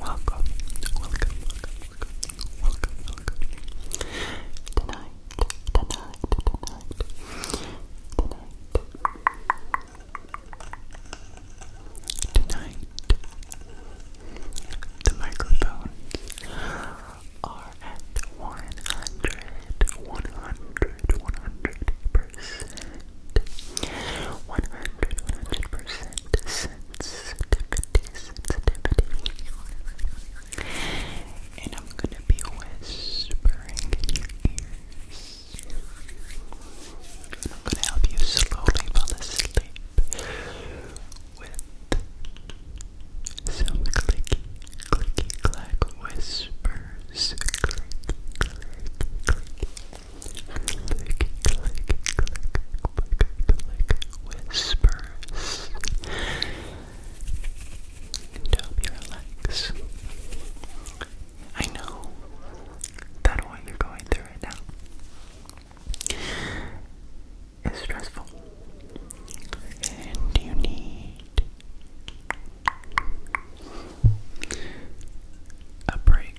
Welcome, welcome, welcome, welcome, Tonight, tonight, tonight, tonight, tonight. The microphones at 100, 100, 100 percent, 100, percent sensitivity, sensitivity. And I'm gonna be whispering in your ears. I'm gonna help you slowly fall asleep with some clicky clicky clack whispers. Click, click, whispers. I know that what you're going through right now is stressful and you need a break.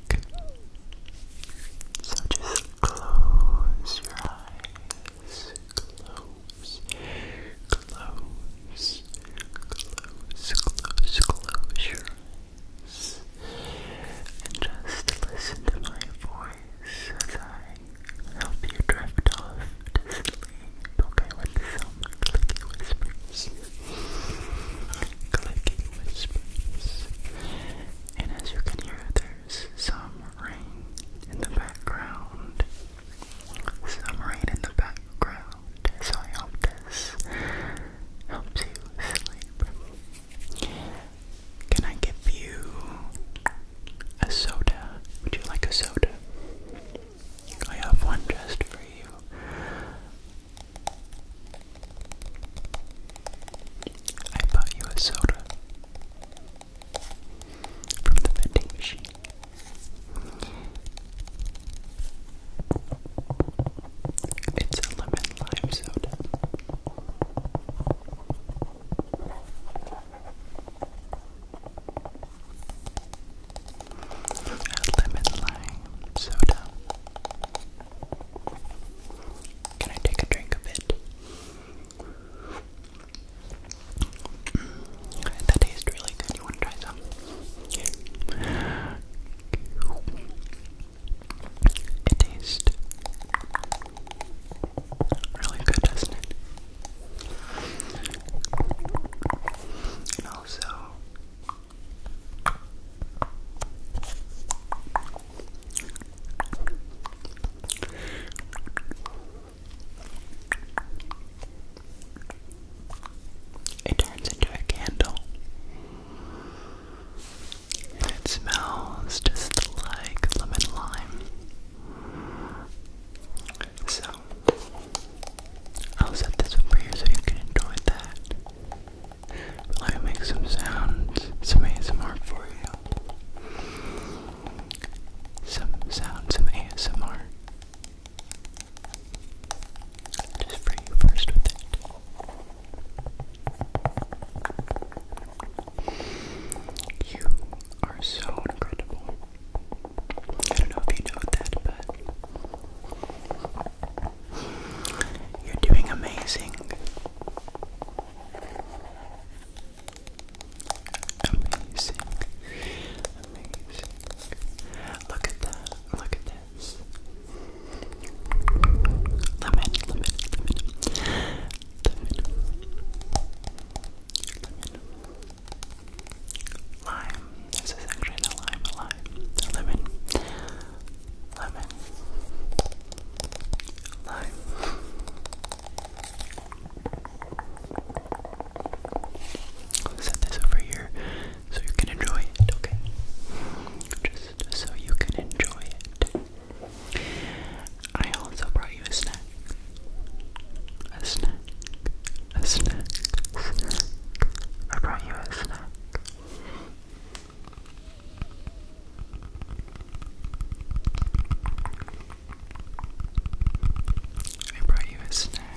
So just close your eyes. Close, close, close, close, close your eyes. And just listen to my voice help you drift off to sleep, okay, with some clicky whispers. clicky whispers. And as you can hear, there's some rain in the background. Some rain in the background. So I hope this helps you sleep. Can I give you a soda. Would you like a soda? I have one just for you. I bought you a soda from the vending machine. It's a lemon lime soda. Lemon lime soda. Can I take a drink of it? Mm, that tastes really good. You want to try some? Okay. It Really good, doesn't it? also, it turns into a candle. It smells just like lemon lime. So, I'll set this up for you so you can enjoy that. let me make some sounds, some ASMR for you. Some sounds, some ASMR. Just for you first with it. You are so incredible. I don't know if you know that, but you're doing amazing. Amazing. Amazing. Look at that. Look at this. Lemon, lemon, lemon. Lemon lemon, lime. This is actually the lime, lime, lemon, lemon, lime. Set this over here so you can enjoy it, okay? Just so you can enjoy it. I also brought you a snack. A snack. A snack. I brought you a snack. I brought you a snack.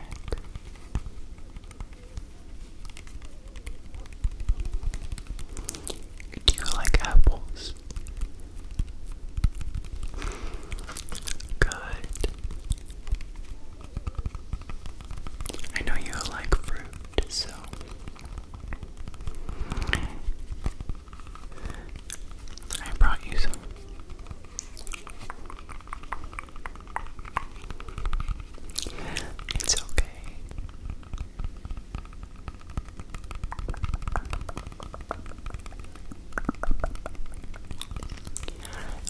Do you like apples? Good. I know you like fruit, so I brought you some. It's okay.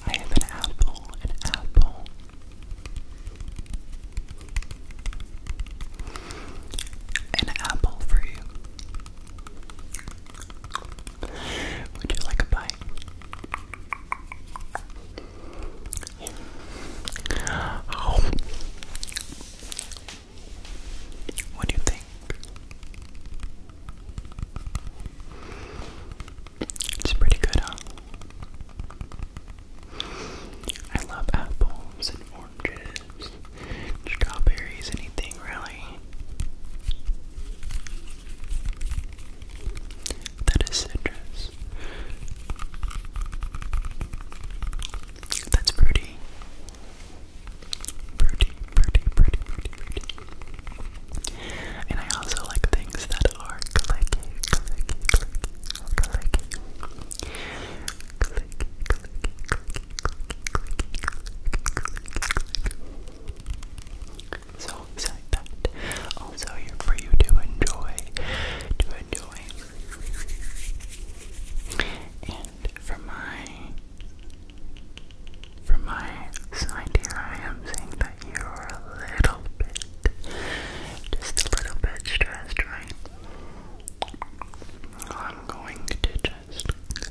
I have an apple, an apple. An apple for you. Would you like a bite? What do you think? It's pretty good, huh? I love apples and oranges, strawberries, anything really. That is citrus. That's pretty. Pretty, pretty, pretty, pretty, And I also like things that are clicky, clicky, clicky, clicky. Clicky, clicky, clicky, clicky, clicky, clicky. So, like that. Also here for you to enjoy, to enjoy, and for my for my side here, I am seeing that you are a little bit, just a little bit stressed, right? I'm going to just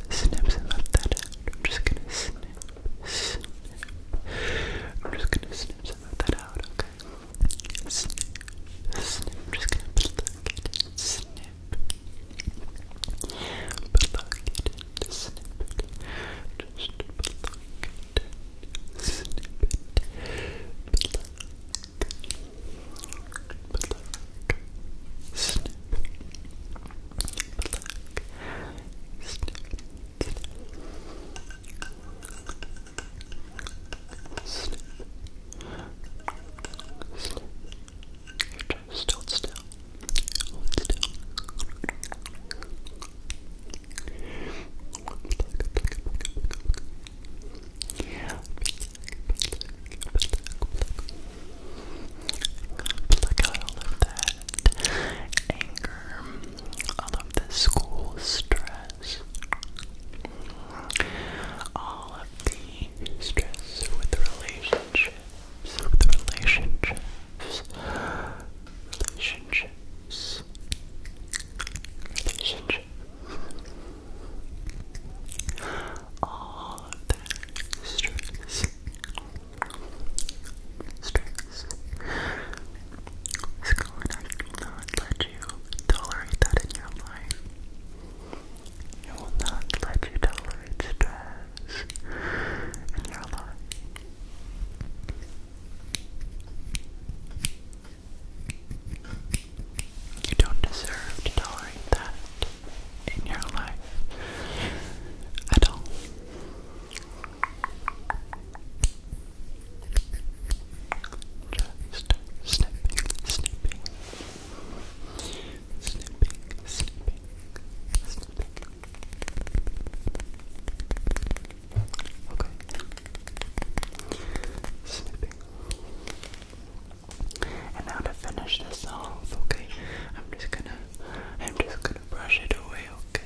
snip some of that out. I'm just gonna snip, snip. I'm just gonna snip some of that out, okay? snip, snip. I'm just gonna plug it in, snip. Plug it in, snip it. Just plug it in, snip it. Plug, plug, snip. Plug, snip, snip. Plug, snip, snip. Snip. Snip. Just hold still. Hold still. Look that anger, all of the school stress stress. All of the stress with relationships, relationships, relationships, relationships. All of that stress, stress you tolerate that in your life. It will not let you tolerate stress You don't deserve to tolerate that in your life at all. Just snipping, snipping, snipping, snipping, snipping. Okay, snipping. And now to finish this off, okay, I'm just gonna, I'm just gonna brush it away, okay.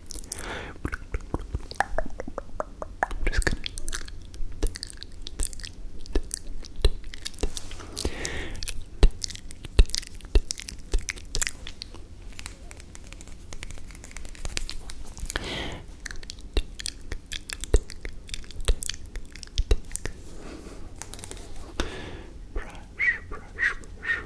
I'm just gonna brush, brush, brush,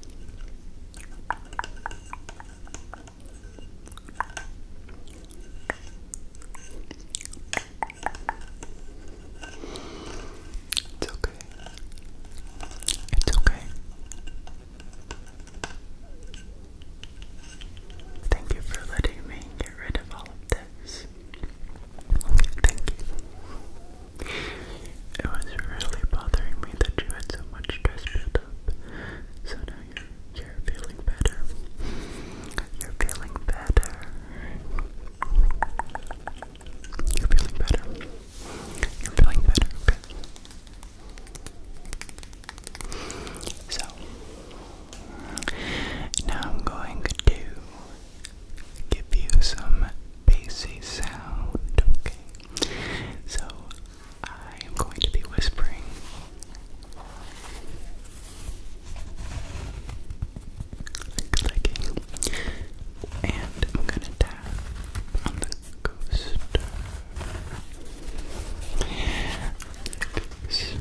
it's okay. It's okay. Thank you for letting me get rid of all of this. Thank you. It was really bothering me that you had so much stress built up. So now you're, feeling better. You're feeling better. You're feeling better. You're feeling better, So, now I'm going to give you some bassy sound, okay? So I am going to be whispering. Clicking. And I'm gonna tap on the coaster. coaster.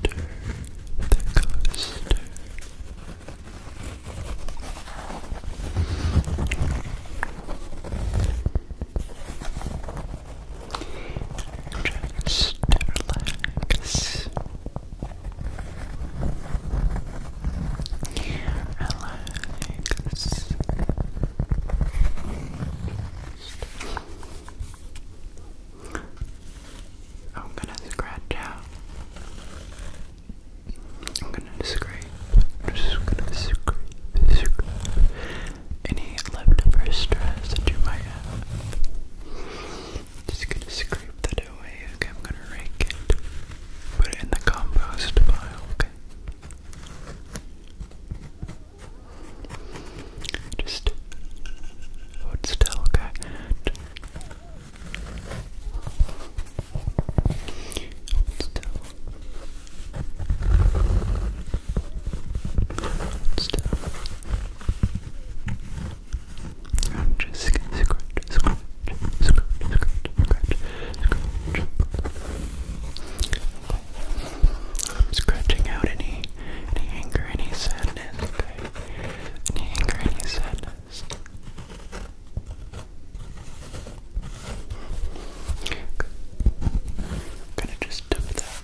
The coaster. Just relax. Relax. I'm gonna scratch out I'm gonna scrape, I'm just gonna scrape, scrape any leftover stress that you might have. Just gonna scrape that away, okay? I'm gonna rake it, put it in the compost pile, okay? Just hold still, okay? I'm just scratch, scratch, scratch, scratch, scratch, scratch. i scratching out any any anger, any sadness, Any anger, any sadness gonna just dump that.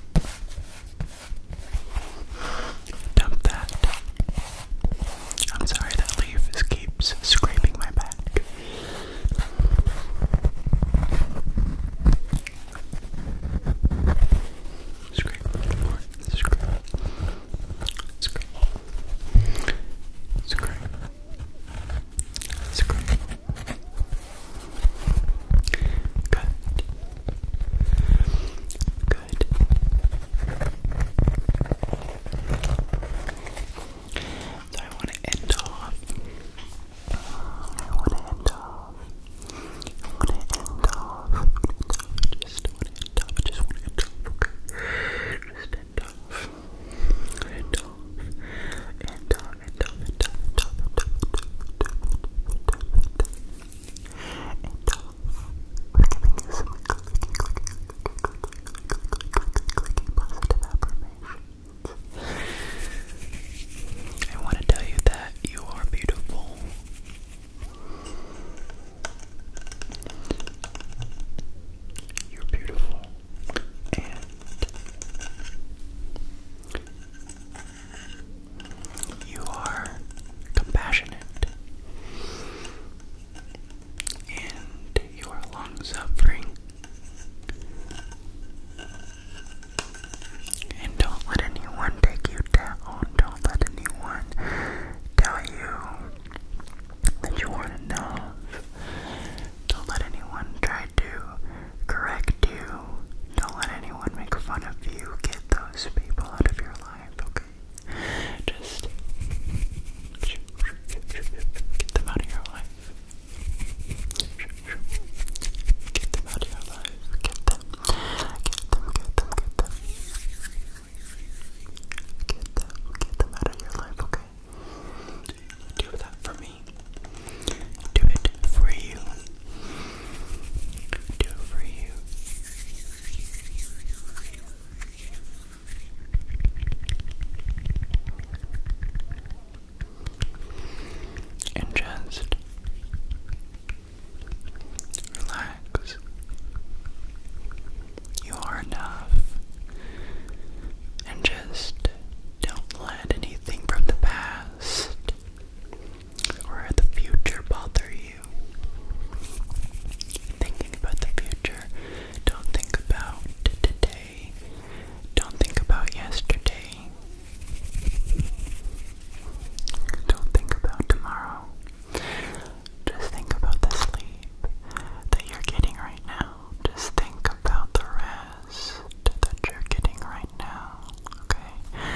Dump that. I'm sorry that leaf keeps scraping my back. Scrape, scrape. Scream. Scream. Scream. Good. Good. So I want to end off. I want to end off. I want to end off. Just want I just want to end okay? Just end off. End off. End off, end off, end off, end off, end off, end off. We're giving you some positive affirmations. I want to tell you that you are beautiful. You're beautiful and you are compassionate and you are long suffering. And don't let anyone take you you Don't let anyone tell you that you aren't enough. Don't let anyone try to correct you. Don't let anyone make fun of you. Get those people out of your life, okay? Just get them out of your life. Get them out of your life. Get them Get them, get them, get them. Get them, get them out of your life, okay? Do that for me. Do it for you. Do it for you. And just Relax. You are enough. And just don't let anything from the past or the future bother you. Thinking about the future, don't think about today. Don't think about yesterday. Don't think about tomorrow. Just think about the sleep that you're getting right now. Just think about the rest that you're getting right now. Okay?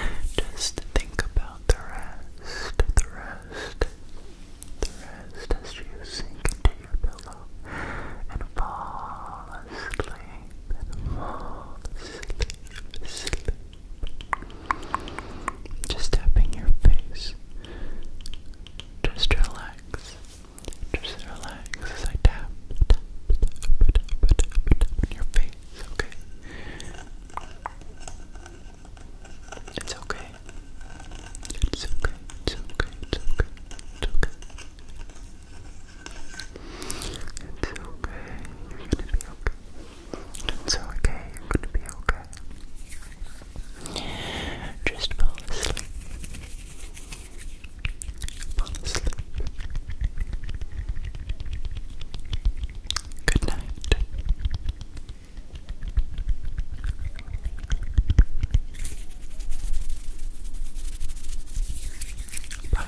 Just think about the rest, the rest, the rest as you sink into your pillow and fall asleep and fall asleep, just tapping your face. Just relax. Just relax as I tap, tap, tap, tap, tap, tap, on your face, okay? It's okay. It's okay. It's okay. It's okay. It's okay. It's okay. You're gonna be okay. It's okay, you're gonna be okay. Just fall asleep. Fall asleep. Good night. Bye.